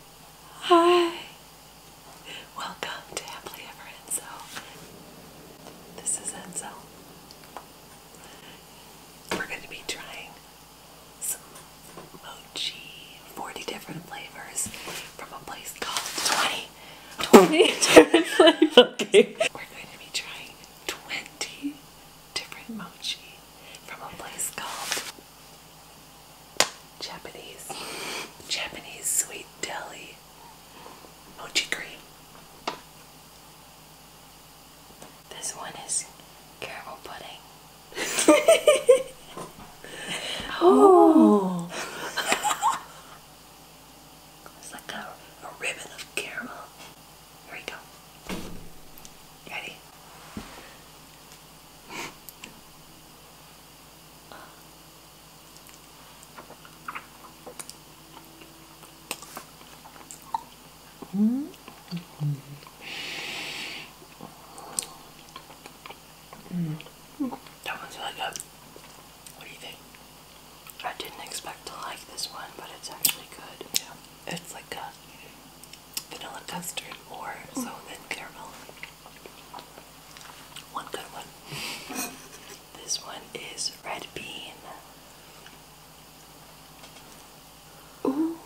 Hi! Welcome to Happily Ever Enzo. This is Enzo. We're going to be trying some mochi, 40 different flavors from a place called 20, 20 different flavors. We're going to be trying 20 different mochi from a place called Japanese. Japanese sweet deli. Mochi cream. This one is caramel pudding. oh. it's like a, ribbon of caramel. Here we go. Ready? -hmm. -hmm. That one's really good. What do you think? I didn't expect to like this one, but it's actually good. Yeah. It's like a vanilla custard or so mm. then caramel. One good one. this one is red bean. Ooh.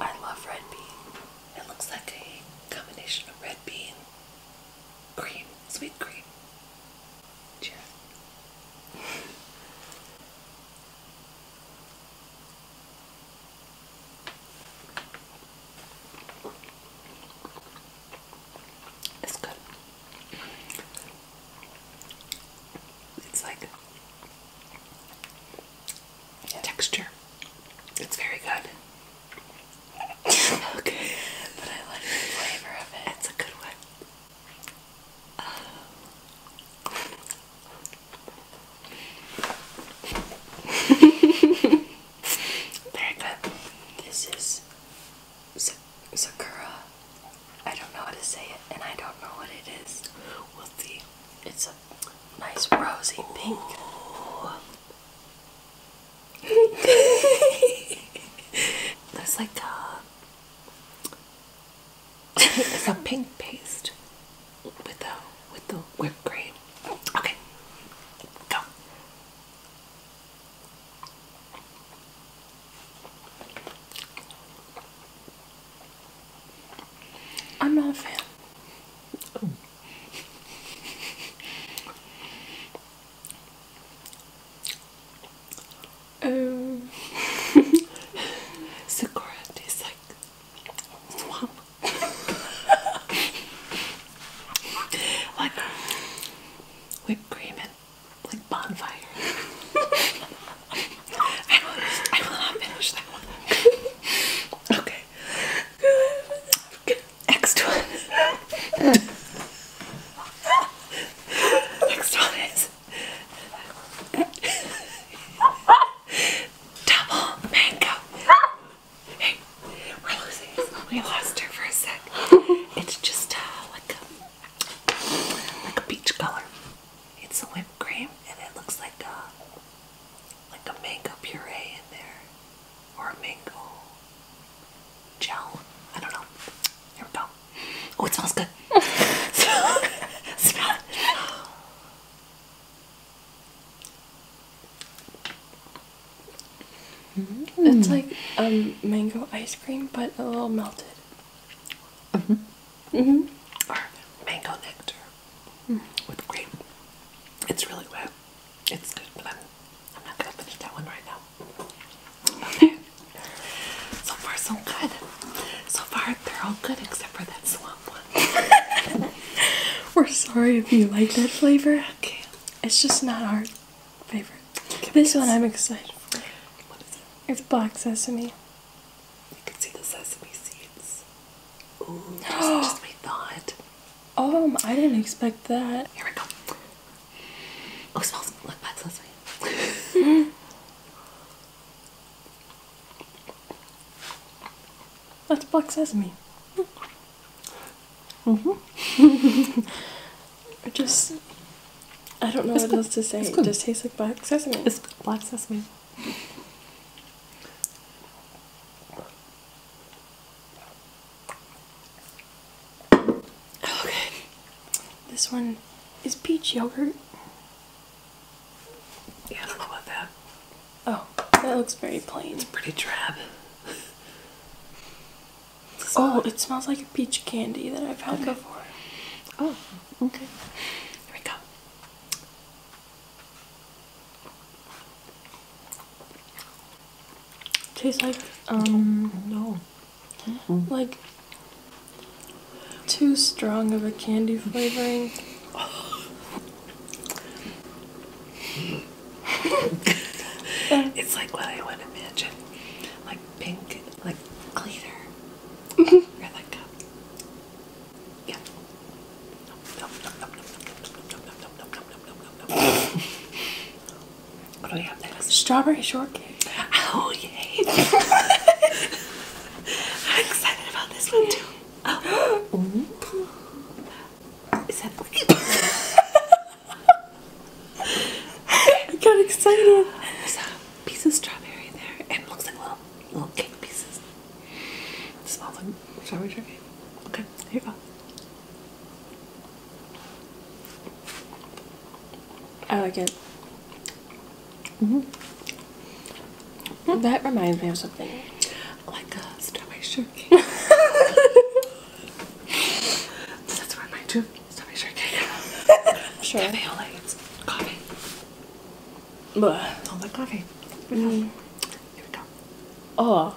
I love red bean. It looks like a combination of red bean, cream, sweet cream. Cheers. It's good. It's like texture. It's very good. okay. But I like the flavor of it. It's a good one. Um, Very good. This is Sakura. I don't know how to say it, and I don't know what it is. We'll see. It's a nice rosy pink. There's like a uh, it's a pink paste with the with the whipped cream. Okay, go. I'm not a fan. Oh. Um, Sakura tastes like swamp. like whipped cream and like bonfire. I, will, not finish that one. okay. Next one. Next one Double mango. Hey, we're losing. We lost her for a sec. It's just uh, like a like a peach color. It's a whipped cream, and it looks like a like a mango puree in there, or a mango gel. I don't know. Here we go. Oh, it smells good. It's like um mango ice cream, but a little melted. hmm hmm mango nectar mm-hmm. with cream. It's really wet. It's good, but I'm not gonna finish that one right now. so far, so good. So far, they're all good except for that swamp one. We're sorry if you like that flavor. It's just not our favorite. this one I'm excited for. It's black sesame. You can see the sesame seeds. Oh, just, just thought. Um, I didn't expect that. Here we go. Oh, it smells like black sesame. That's black sesame. Mm hmm I just I don't know what else to say. It just tastes like black sesame. It's black sesame. Okay, oh, this one is peach yogurt. Yeah, I do that. Oh, that looks very plain. It's pretty drab. oh, it smells like a peach candy that I've had before. Oh, okay. Here we go. Tastes like um no. Like, too strong of a candy flavoring. it's like what I would imagine. Like pink, like cleaner. or like a, yeah. What do we have next? Strawberry shortcake. Oh yay! I'm excited about this one too. Oh. Ooh. Is that fucking? I got excited. There's a piece of strawberry there and it looks like little little cake pieces. It smells like strawberry shortcake. Okay, here we go. I like it. Mm-hmm. That reminds me of something. Like a strawberry shortcake. That's where my two strawberry shortcake. sure. Cafe it's coffee. Blah. Don't coffee. Mm-hmm. Here we go. Oh.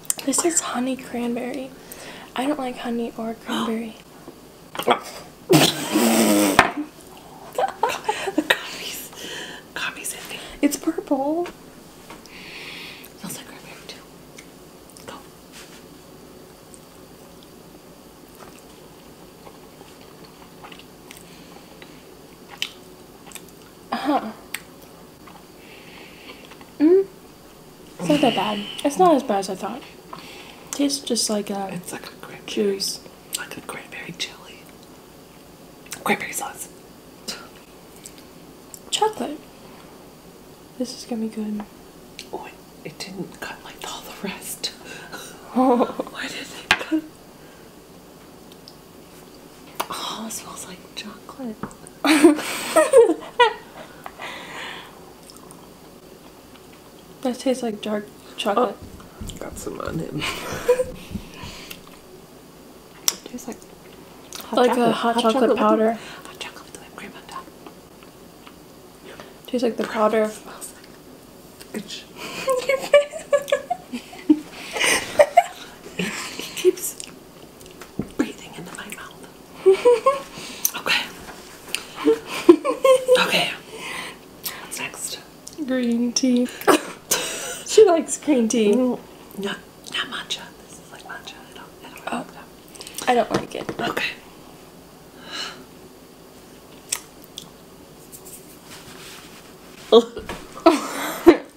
This is honey cranberry. I don't like honey or cranberry. the coffee's, coffee's in there. It's purple. It like cranberry too. Go. huh. Mm. It's not that bad. It's not as bad as I thought. tastes just like a. Uh, it's like a grape juice. Like a cranberry chili. Cranberry sauce. Chocolate. This is gonna be good. Oh, it, it didn't cut like all the rest. Why did it cut? Oh, it smells like chocolate. that tastes like dark chocolate. Oh. got some on him. tastes like hot like chocolate. a hot, chocolate, powder. hot chocolate with whipped cream on top. Tastes like the powder. It smells like itch. it keeps breathing into my mouth. okay. okay. What's next? Green tea. she likes green tea. No, not, matcha. This is like matcha. I don't, oh. like I don't like it. Okay.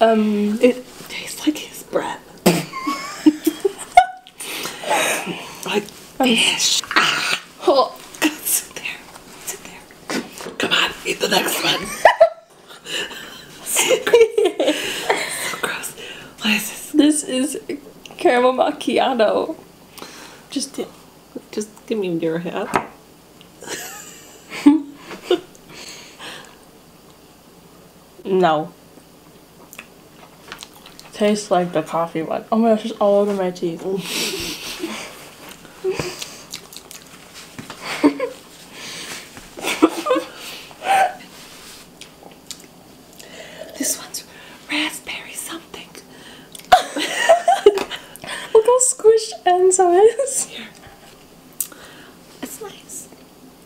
um, it tastes like his breath. like fish. Ah. Oh, God, sit there. Sit there. Come on, eat the next one. so, gross. so this? This is caramel macchiato. Just, just give me your hat. no. Tastes like the coffee one. Oh my gosh, it's all over my teeth. This one's raspberry something. Look how squished Enzo is. Here. It's nice.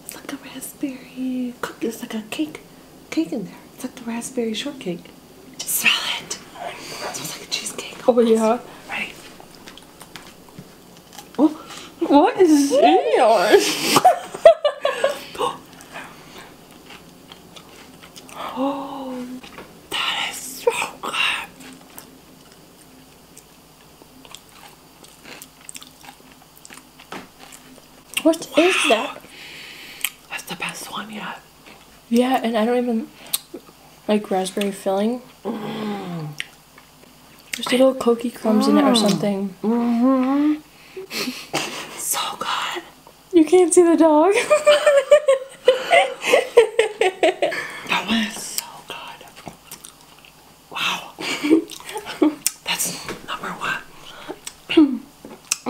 It's like a raspberry cookie. It's like a cake. Cake in there. It's like the raspberry shortcake. Just smell it. smells like a cheesecake. Oh, yeah. Right. Oh, what is in yours? Oh, that is so good. What that? That's the best one yet. Yeah, and I don't even like raspberry filling. Mm. There's little cookie crumbs in it or mm. something. Mm-hmm. so good. You can't see the dog. that was so good. Wow. That's number one.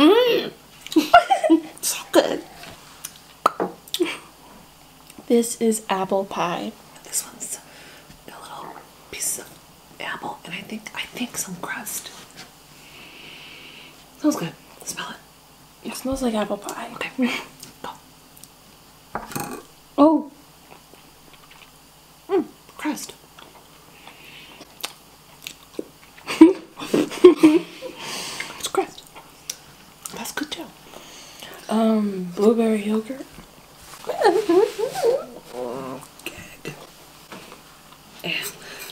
mm. so good. This is apple pie. This one's a little piece of apple, and I think I think some crust. Smells good. Smell it. It smells like apple pie. Okay. Go. Oh. Mm, crust. it's crust. That's good too. Um, blueberry yogurt. Good and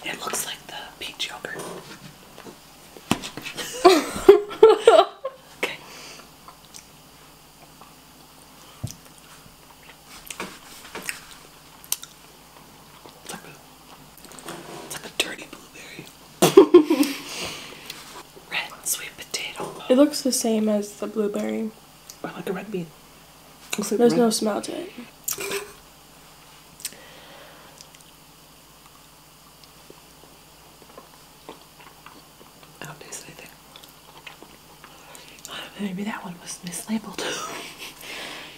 it looks like the peach yogurt. okay. It's a, it's a dirty blueberry. Red sweet potato. It looks the same as the blueberry. I like a red bean. There's no smell to it. I don't taste anything. Uh, maybe that one was mislabeled.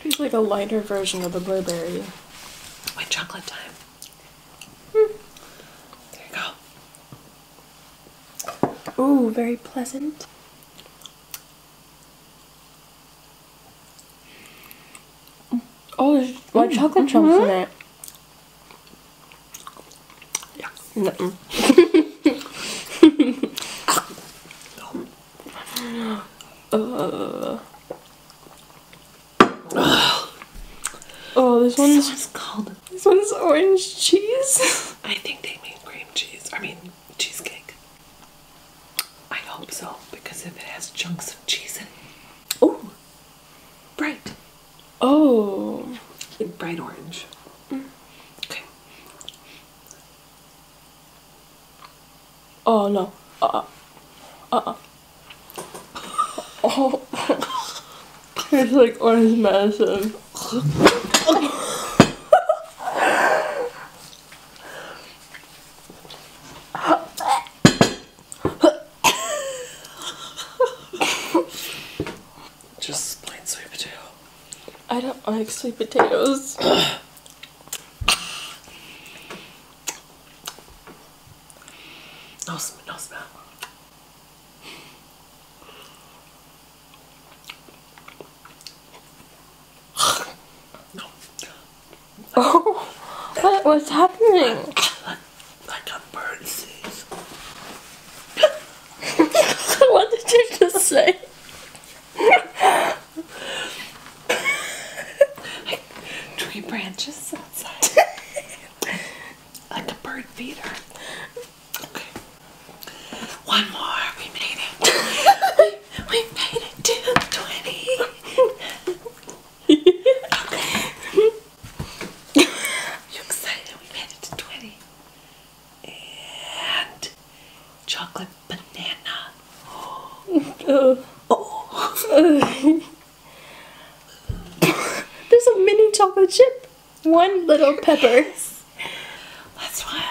It's like a lighter version of the blueberry. White chocolate time. Hmm. There you go. Ooh, very pleasant. Oh, white mm, chocolate mm-hmm. chunks in it. Yeah. No. uh. Oh, this one's this called. This one's orange cheese. I think they made cream cheese. I mean, cheesecake. I hope so, because if it has chunks of cheese in it. Oh, bright. Oh, bright orange. Mm. Okay. Oh no. Uh uh. Uh uh. Oh. It's like orange medicine. Just plain sweet potato. I don't like sweet potatoes. no smell, Oh, what was happening? Like a bird sees. what did you just say? tree branches outside. like a bird feeder. Okay. One more. We made it. we, made it to 20. you excited? We made it to 20. And chocolate banana. Oh. oh. There's a mini chocolate chip one little pepper. That's one.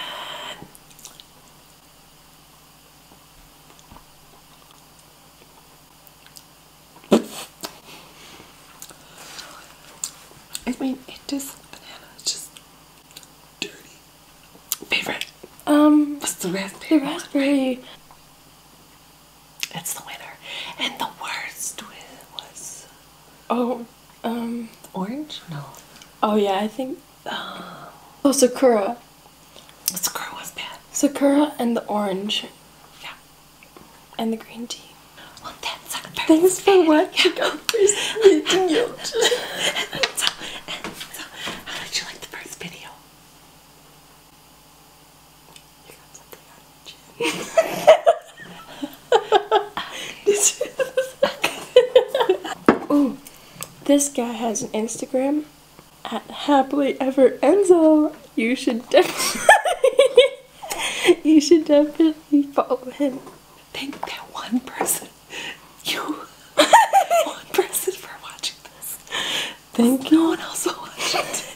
I mean, just banana. It's just dirty. Favorite? Um, what's the raspberry? The raspberry. It's the winner. And the worst was. Oh, um. Orange? No. Oh, yeah, I think. Um, oh, Sakura. Sakura was bad. Sakura and the orange. Yeah. And the green tea. Thanks for watching yeah. our first how did you like the first video? Ooh, this guy has an Instagram at happily ever Enzo. You should definitely you should definitely follow him. Thank that one person. You one person for watching this. Thank no No one else will watch it.